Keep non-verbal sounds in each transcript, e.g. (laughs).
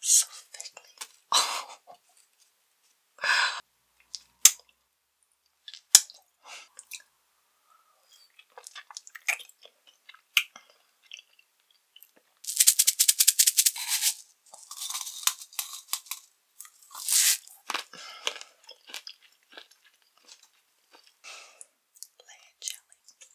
so thickly. Oh. Layer jelly.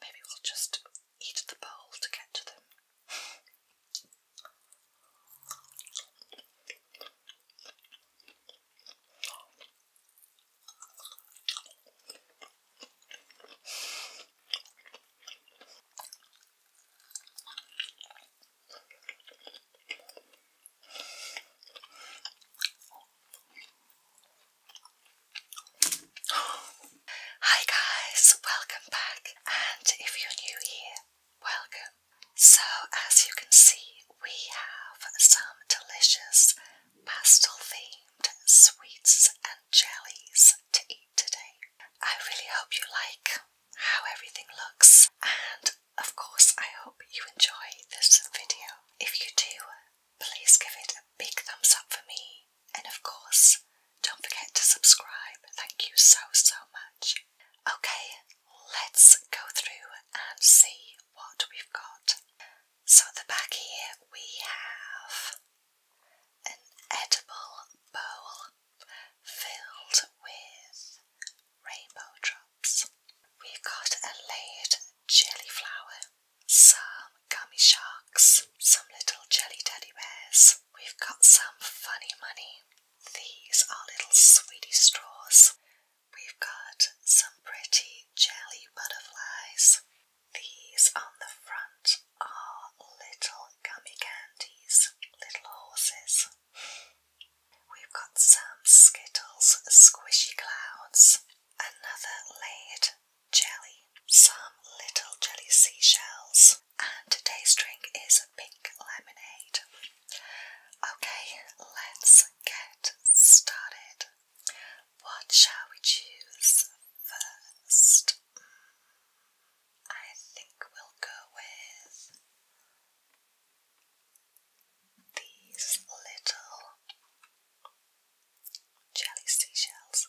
Maybe we'll just eat the bowl to get to them. Hi guys, welcome back, and if you're new here, welcome. So, as you can see, we have some delicious pastel themed sweets and jellies to eat today. I really hope you like how everything looks, and of course, I hope you enjoy this video. If you do, please give it a big thumbs up for me, and of course, don't forget to subscribe. Thank you so, so much. Okay, let's go through and see what we've got. So, at the back here we have an edible bowl filled with rainbow drops. We've got a layered jelly flower, some gummy sharks, some little jelly teddy bears. We've got some funny money, these are little sweetie straws. We've got some pretty jelly butterflies. These on the front are little gummy candies, little horses. We've got some Skittles squishy clouds, another layered jelly, some little jelly seashells, and today's drink is a pink lemonade. Okay, let's get started. What shall we choose first? Mm, I think we'll go with these little jelly seashells.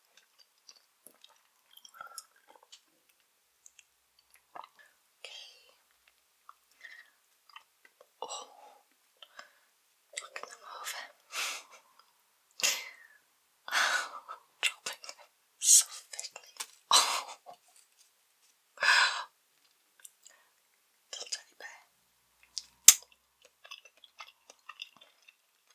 Okay. Oh, look them over. dropping them so thickly. (laughs) little teddy bear.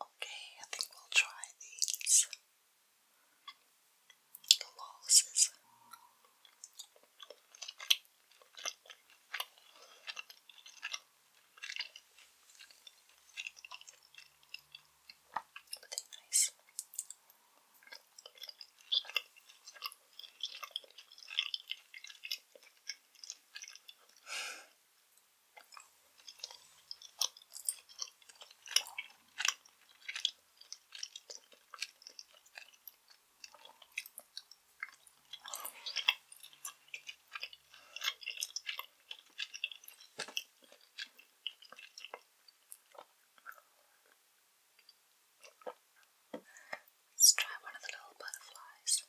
Okay, I think we'll try these glosses. Pretty nice. Let's try one of the little butterflies.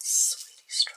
Sweetie straw.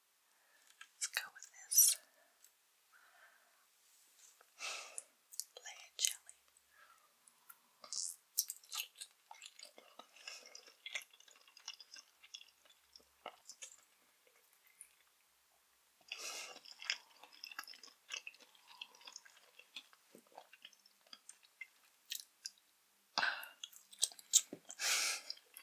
Let's go with this layer jelly.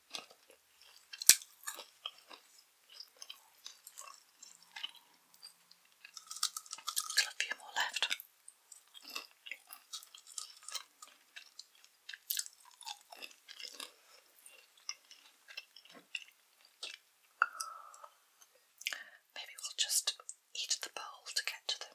a few more left. Maybe we'll just eat the bowl to get to them.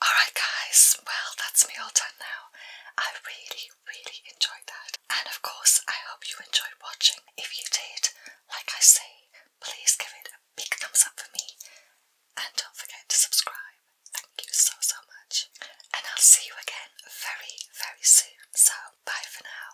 Alright, guys, well, that's me all done now. I really, really enjoyed that. And of course, I hope you enjoyed watching. If you did, like I say, please give it a big thumbs up for me. And don't forget to subscribe. Thank you so, so much. And I'll see you again very, very soon. So, bye for now.